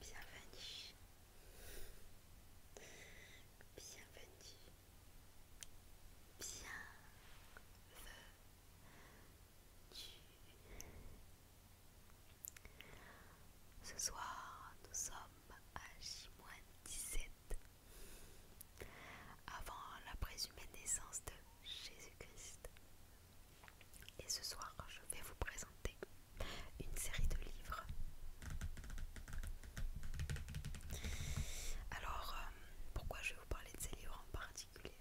Bienvenue. Bienvenue. Bienvenue. Ce soir, nous sommes à 17 avant la présumée naissance de Jésus-Christ. Et ce soir, je vais vous présenter une série de livres. Alors, euh, pourquoi je vais vous parler de ces livres en particulier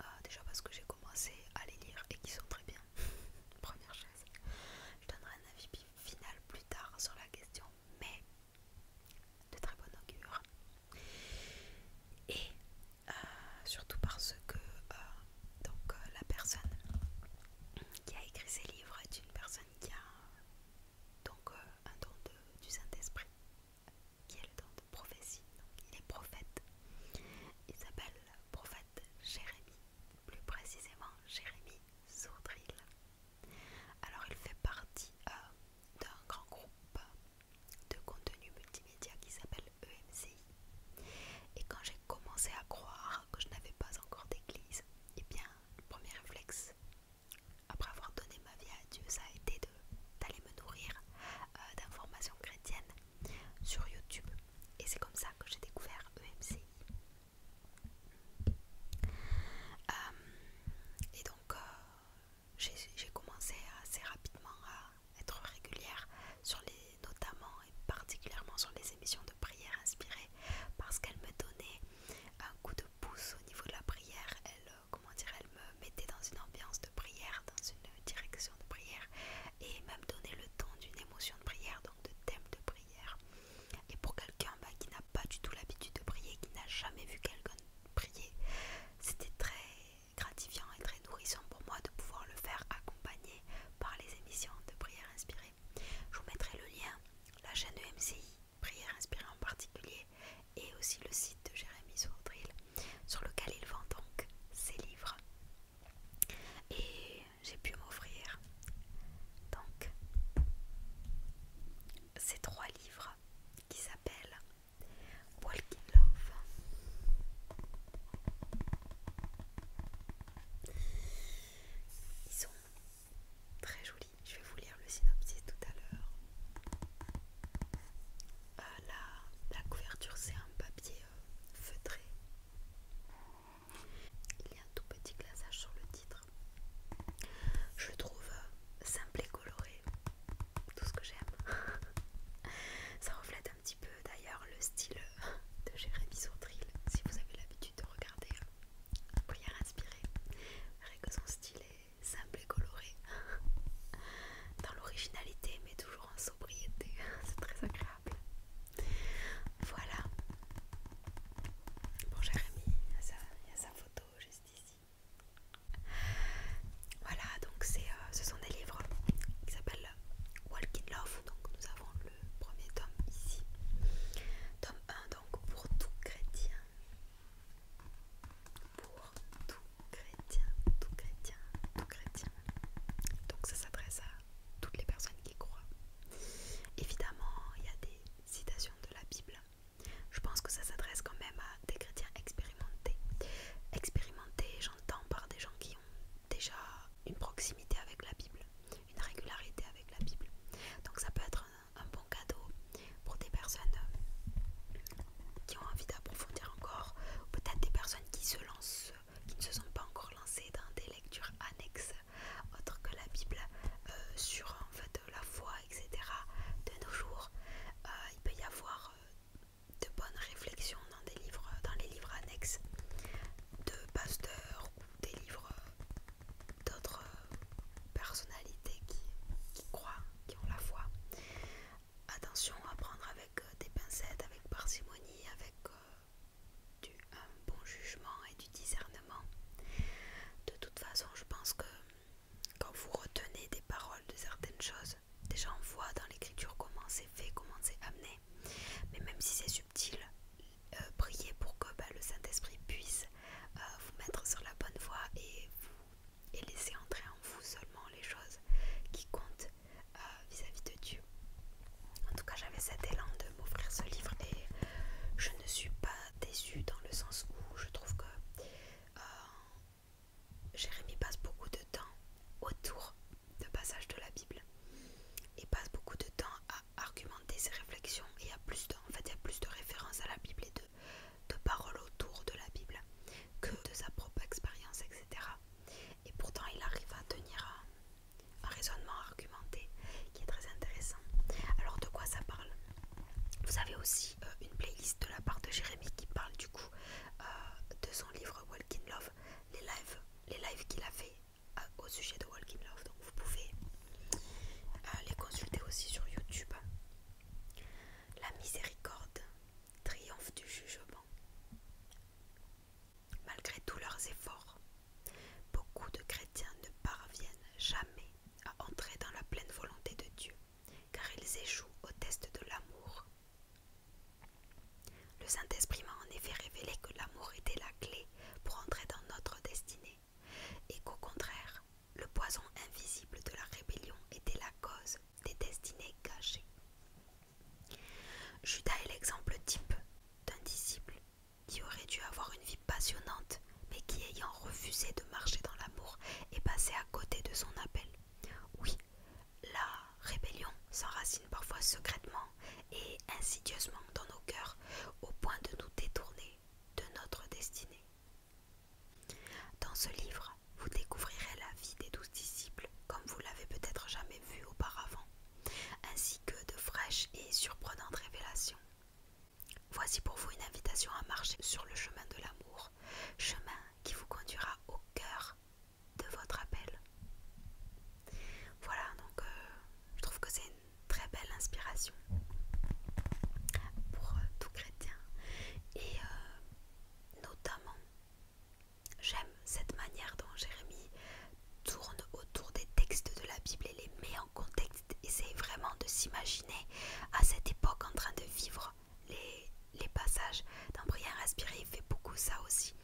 euh, Déjà parce que j'ai commencé à les lire et qu'ils sont très bien. Première chose. Je donnerai un avis final plus tard sur la question, mais de très bonne augure. Et euh, surtout parce que euh, euh, la personne qui a écrit ces livres est une personne qui a donc, un don de, du Saint-Esprit, qui est le don de prophétie, il est prophète. Il s'appelle prophète Jérémie, plus précisément Jérémie Sourdril. Alors il fait partie d'un grand groupe de contenu multimédia qui s'appelle EMCI. Et quand j'ai commencé à croire que je n'avais pas encore d'église, et eh bien, le premier réflexe, après avoir donné ma vie à Dieu, ça a été d'aller me nourrir euh, d'informations chrétiennes sur YouTube. Et c'est comme ça que j'ai découvert EMCI. Euh, et donc, euh, j'ai commencé assez rapidement à être régulière sur les notamment et particulièrement sur les émissions de prière inspirées parce qu'elles me donnaient un coup de pouce au niveau de la prière elle euh, comment dire elle me mettaient dans une ambiance de prière dans une direction de prière et même donnaient le ton d'une émotion de prière donc de thème de prière et pour quelqu'un bah, qui n'a pas du tout l'habitude de prier qui n'a jamais vu quelqu'un prier c'était très gratifiant et très nourrissant pour moi de pouvoir le faire accompagner par les émissions de prières inspirées. Je vous mettrai le lien, la chaîne de MCI, prières inspirées en particulier, et aussi le site de Jérémy Sourdril, sur lequel il vend donc ses livres. Et j'ai pu m'offrir donc ces trois livres qui s'appellent Walking Love. Ils sont très jolis. Je vais vous lire le synopsis tout à l'heure. Euh, la, couverture, c'est un papier euh, feutré. Il y a un tout petit glaçage sur le titre. Je trouve euh, simple et coloré, tout ce que j'aime. Ça reflète un petit peu d'ailleurs le style de Jérémy Sourdril, si vous avez l'habitude de regarder y y Vous verrez que son style est simple et coloré, dans l'originalité mais toujours en sobriété, c'est très agréable. Voilà. Bon Jérémy, il y a sa photo juste ici. Voilà, donc euh, ce sont des livres qui s'appellent Walk Love. Donc nous avons le premier tome ici. Tome 1 donc pour tout chrétien. Pour tout chrétien, tout chrétien, tout chrétien. Donc ça s'adresse à toutes les personnes qui croient. Évidemment, il y a des citations de la Bible. Je pense que ça s'adresse quand même à des chrétiens expérimentés. Expérimentés, j'entends par des gens qui ont déjà une proximité avec la Bible, une régularité avec la Bible. Donc ça peut être un, bon cadeau pour des personnes euh, qui ont envie d'approfondir encore, peut-être des personnes qui se lancent, qui ne se sont pas encore lancées dans des lectures annexes autres que la Bible euh, sur en fait la foi etc. De nos jours, euh, il peut y avoir euh, de bonnes réflexions dans, des livres, dans les livres annexes de pasteurs ou des livres euh, d'autres personnalités qui, croient, qui ont la foi. Attention à prendre avec des pincettes, avec parcimonie, avec du, un bon jugement et du discernement. De toute façon, je pense que quand vous retenez des paroles de certaines choses, déjà on voit dans l'écriture comment c'est fait, comment c'est amené. Mais même si c'est subtil, euh, priez pour que bah, le Saint-Esprit puisse euh, vous mettre sur la bonne voie et, vous, laisser entrer en vous seulement les choses qui comptent euh, vis-à-vis de Dieu. En tout cas, j'avais cet élan de m'offrir ce livre et je ne suis pas déçue dans le sens où je trouve que euh, Jérémie passe beaucoup de temps autour de passages de la Bible et passe beaucoup de temps à argumenter ses réflexions et il y a plus de, fait il plus de références à la Bible et de, de paroles autour de la Bible que de sa propre expérience etc et pourtant il arrive à tenir un raisonnement argumenté qui est très intéressant alors de quoi ça parle vous avez aussi euh, une playlist de la part de Jérémy qui parle du coup euh, de son livre Walking Love, les lives, les qu'il a fait euh, au sujet de Walking Love. Donc vous pouvez les consulter aussi sur YouTube. La miséricorde triomphe du jugement. Malgré tous leurs efforts, beaucoup de chrétiens ne parviennent jamais à entrer dans la pleine volonté de Dieu, car ils échouent au test de l'amour. Le Saint-Esprit m'a en effet révélé que l'amour était la clé pour entrer dans notre destinée, et qu'au contraire, le poison invisible de la rébellion était la cause des destinées cachées. Judas est l'exemple type d'un disciple qui aurait dû avoir une vie passionnante, mais qui ayant refusé de marcher dans l'amour est passé à côté de son appel. Oui, la rébellion s'enracine parfois secrètement et insidieusement dans nos cœurs, au point de nous détourner de notre destinée. Dans ce livre, vous découvrirez la vie des douze disciples comme vous l'avez peut-être jamais vu auparavant, ainsi que de fraîches et surprenantes révélations. Voici pour vous une invitation à marcher sur le chemin de l'amour, chemin qui vous conduira au cœur de votre appel. Voilà, donc euh, je trouve que c'est une très belle inspiration pour euh, tout chrétien. Et euh, notamment, j'aime cette manière dont Jérémie tourne autour des textes de la Bible et les met contexte, essaye vraiment de s'imaginer à cette époque en train de vivre les, passages. d'un Prière inspirée, il fait beaucoup ça aussi.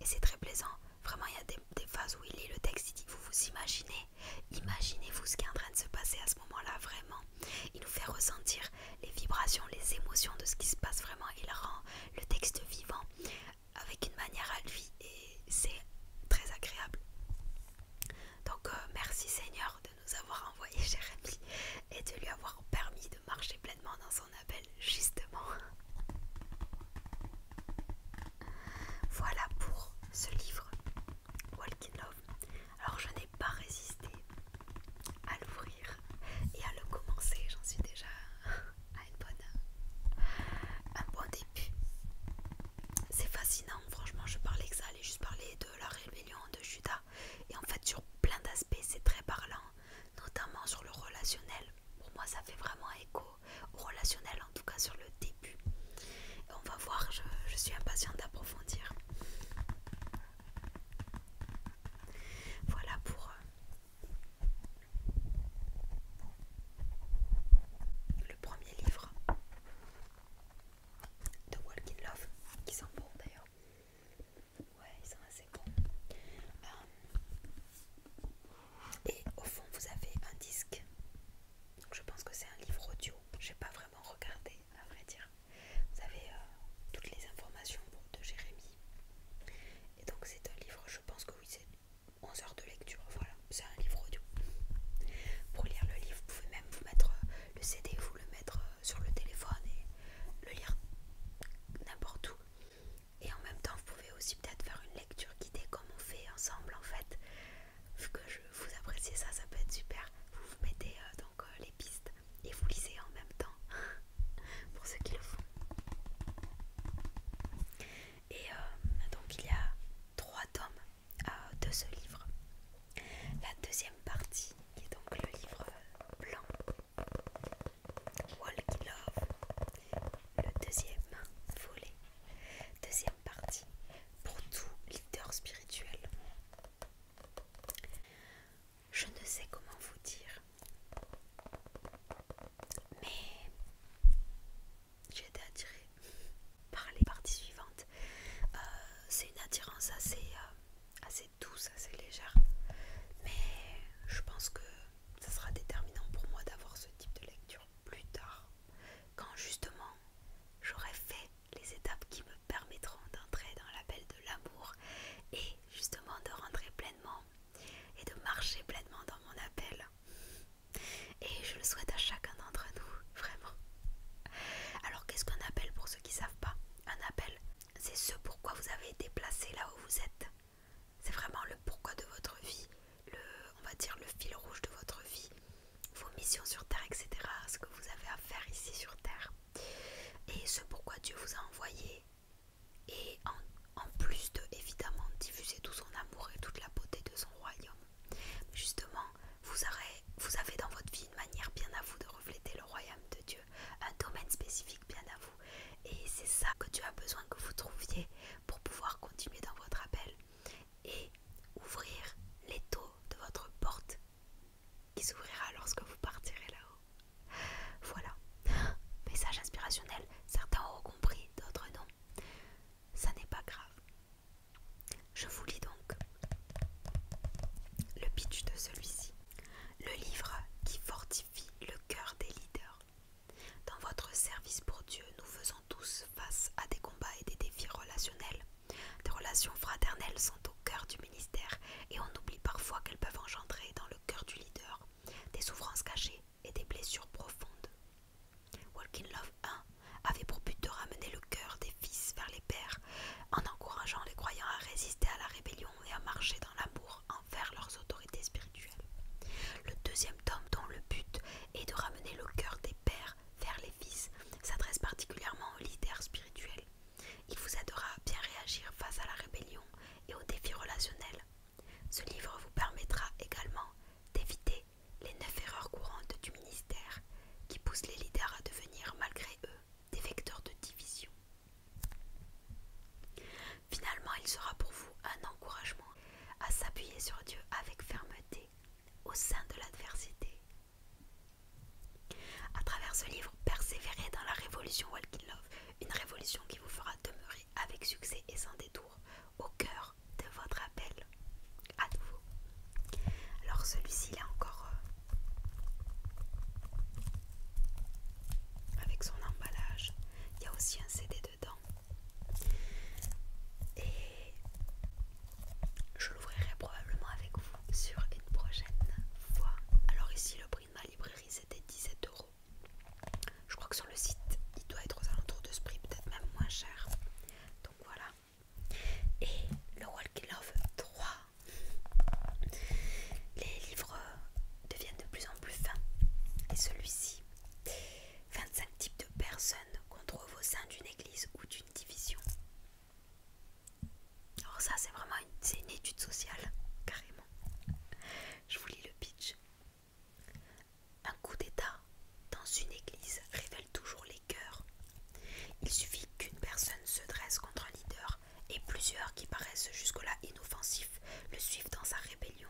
Et c'est très plaisant. Vraiment, il y a des, des phases où il lit le texte, il dit Vous vous imaginez Imaginez-vous ce qui est en train de se passer à ce moment-là, vraiment. Il nous fait ressentir les vibrations, les émotions de ce qui se passe vraiment. Il rend le texte vivant avec une manière à lui et c'est très agréable. Donc euh, merci Seigneur de nous avoir envoyé Jérémy et de lui avoir permis de marcher pleinement dans son appel, justement. Voilà pour ce livre, Walking Love. Alors je n'ai pas résisté à l'ouvrir et à le commencer, j'en suis déjà à une bonne, un bon c'est fascinant, franchement, je parlais que ça allait juste parler de la rébellion de Judas. Et en fait, sur plein d'aspects, c'est très parlant, notamment sur le relationnel. Pour moi, ça fait vraiment écho au relationnel, en tout cas sur le début. on va voir, je, je suis impatiente d'approfondir. Voilà pour... Euh, le premier livre de in Love, qui sont bon d'ailleurs. Ouais, ils sont assez bons. Euh, et au fond, vous avez un disque. Donc, je pense que c'est un livre audio. J'ai pas vraiment regardé, à vrai dire. Vous avez euh, toutes les informations de Jérémy. Et donc, c'est un livre, je pense que oui, c'est 11 heures de lecture, voilà, c'est un livre audio. Pour lire le livre, vous pouvez même vous mettre euh, le CD, vous le mettre euh, sur le téléphone et le lire n'importe où. Et en même temps, vous pouvez aussi peut-être faire une lecture guidée comme on fait ensemble en fait. Vu que je vous appréciez ça, ça peut être super. Vous vous mettez euh, donc les pistes et vous lisez en même temps pour ceux qui le font. Et euh, donc il y a trois tomes euh, de ce livre. La deuxième partie, qui est donc le livre blanc, Walk Love, le deuxième volet, deuxième partie, pour tout leader spirituel. Je ne sais comment vous dire mais j'ai été attirée par les parties suivantes. Euh, c'est une attirance assez, euh, assez douce, assez légère, mais je pense que ça sera déterminant pour moi d'avoir ce type de lecture plus tard, quand justement j'aurai fait les étapes qui me permettront d'entrer dans l'appel de l'amour et justement de rentrer pleinement et de marcher pleinement dans mon appel et je le souhaite à chacun d'entre nous, vraiment. Alors qu'est-ce qu'un appel pour ceux qui ne savent pas Un appel, c'est ce pourquoi vous avez été placé là où vous êtes. C'est vraiment le pourquoi de votre vie, le, on va dire le fil rouge de votre vie, vos missions sur Terre, etc. Ce que vous avez à faire ici sur Terre. Et ce pourquoi Dieu vous a envoyé et en, plus de évidemment diffuser tout son amour et toute la beauté de son royaume. Justement, vous, vous avez dans votre vie une manière bien à vous de refléter le royaume de Dieu, un domaine spécifique bien à vous. Et c'est ça que Dieu a besoin que vous trouviez pour pouvoir continuer dans votre appel et ouvrir les taux de votre porte qui s'ouvrira lorsque vous partirez là-haut. Voilà, message inspirationnel certains ont compris, d'autres non. Ça n'est pas grave. Je vous lis donc le pitch de celui-ci. Le livre qui fortifie le cœur des leaders. Dans votre service pour Dieu, nous faisons tous face à des combats et des défis relationnels. Des relations fraternelles sont au cœur du ministère et on oublie parfois qu'elles peuvent engendrer dans le cœur du leader des souffrances cachées, et des blessures profondes. Walking Love 1 avait pour but de ramener le cœur des fils vers les pères en encourageant les croyants à résister à la rébellion et à marcher dans l'amour envers leurs autorités spirituelles. Le deuxième tome, dont le but est de ramener le cœur des pères vers les fils, s'adresse particulièrement aux leaders spirituels. Il vous aidera à bien réagir face à la rébellion et aux défis relationnels ce livre vous permettra également d'éviter les neuf erreurs courantes du ministère qui poussent les leaders à devenir malgré eux des vecteurs de division. Finalement, il sera pour vous un encouragement à s'appuyer sur Dieu avec fermeté au sein de l'adversité. À travers ce livre, persévérez dans la révolution Walking Love, une révolution qui vous fera demeurer avec succès et sans détour au cœur de votre appel à nouveau. Alors celui-ci là encore euh, avec son emballage, il y a aussi un CD dedans et je l'ouvrirai probablement avec vous sur une prochaine fois. Alors ici le prix de ma librairie c'était 17 euros. Je crois que sur le site, il doit être aux alentours de ce prix, peut-être même moins cher. Donc voilà. Et le Walking Love 3. Les livres deviennent de plus en plus fins. Et celui-ci 25 types de personnes qu'on trouve au sein d'une église ou d'une division. Alors ça c'est vraiment une, une étude sociale, carrément. Je vous lis le pitch. Un coup d'état dans une église révèle toujours les cœurs. Il suffit qu'une personne se dresse contre un leader et plusieurs qui paraissent jusque-là inoffensifs le suivent dans sa rébellion.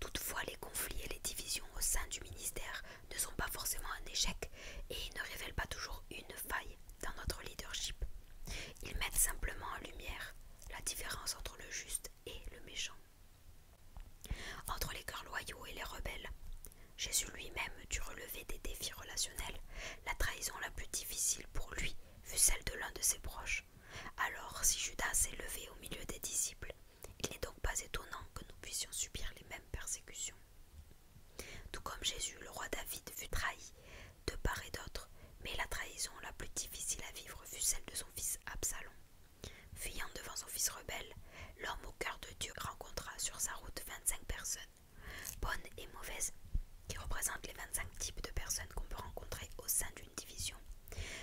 Toutefois, les conflits et les divisions au sein du ministère ne sont pas forcément un échec et ne révèlent pas toujours une faille dans notre leadership. Ils mettent simplement en lumière la différence entre le juste et le méchant. Entre les cœurs loyaux et les rebelles, Jésus lui-même dut relever des défis relationnels. La trahison la plus difficile pour lui fut celle de l'un de ses proches. Alors, si Judas s'est levé au milieu des disciples, il n'est donc pas étonnant que nous puissions subir les mêmes persécutions. Tout comme Jésus, le roi David fut trahi, de part et d'autre, mais la trahison la plus difficile à vivre fut celle de son fils Absalom. Fuyant devant son fils rebelle, l'homme au cœur de Dieu rencontra sur sa route 25 personnes, bonnes et mauvaises, qui représentent les 25 types de personnes qu'on peut rencontrer au sein d'une division.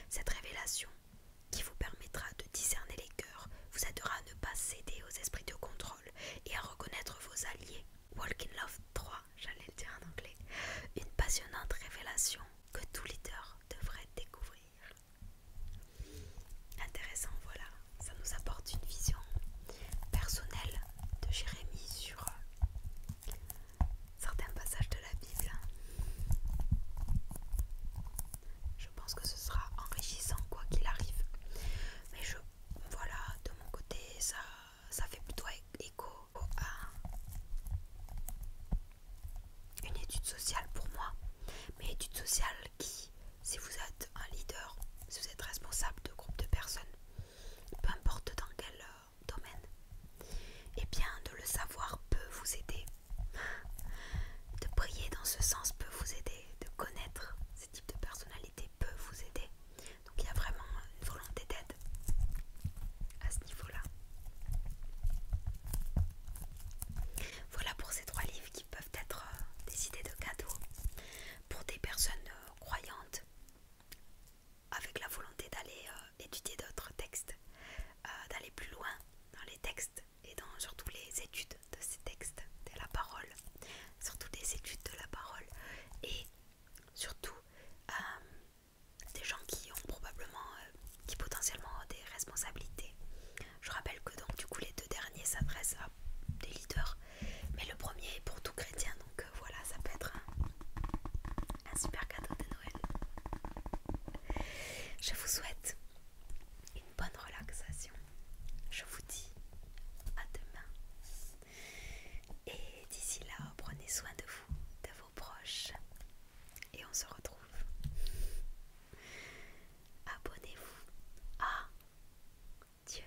Cette révélation, qui vous permettra de discerner les cœurs, vous aidera à ne pas céder aux esprits de contrôle et à reconnaître vos alliés. Walking Love 3, j'allais le dire en anglais, une passionnante révélation que tout leader devrait découvrir. Intéressant, voilà, ça nous apporte une vision personnelle de Jérémie sur euh, certains passages de la Bible. Je pense que ce sera enrichissant quoi qu'il arrive. Mais je voilà, de mon côté, ça ça fait plutôt écho à une étude sociale pour moi. Mais étude sociale qui, si vous êtes un leader, si vous êtes responsable de groupe de personnes, peu importe dans quel euh, domaine, et eh bien de le savoir peut vous aider. De prier dans ce sens peut vous aider, de connaître ce type de personnalité peut vous aider. Donc il y a vraiment une volonté d'aide à ce niveau-là. Voilà pour ces trois livres qui peuvent être euh, des idées de cadeaux pour des personnes euh, croyantes avec la volonté d'aller euh, étudier d'autres textes, d'aller plus loin dans les textes et dans surtout les études de ces textes, de la parole, surtout des études de la parole et surtout euh, des gens qui ont probablement, euh, qui potentiellement ont des responsabilités. Je rappelle que donc du coup les deux derniers s'adressent à des leaders, mais le premier est pour tout chrétien, donc euh, voilà, ça peut être un super cadeau de Noël. Je vous souhaite une bonne relaxation. Je vous dis à demain. Et d'ici là, prenez soin de vous, de vos proches. Et on se retrouve. Abonnez-vous. à ah, Dieu.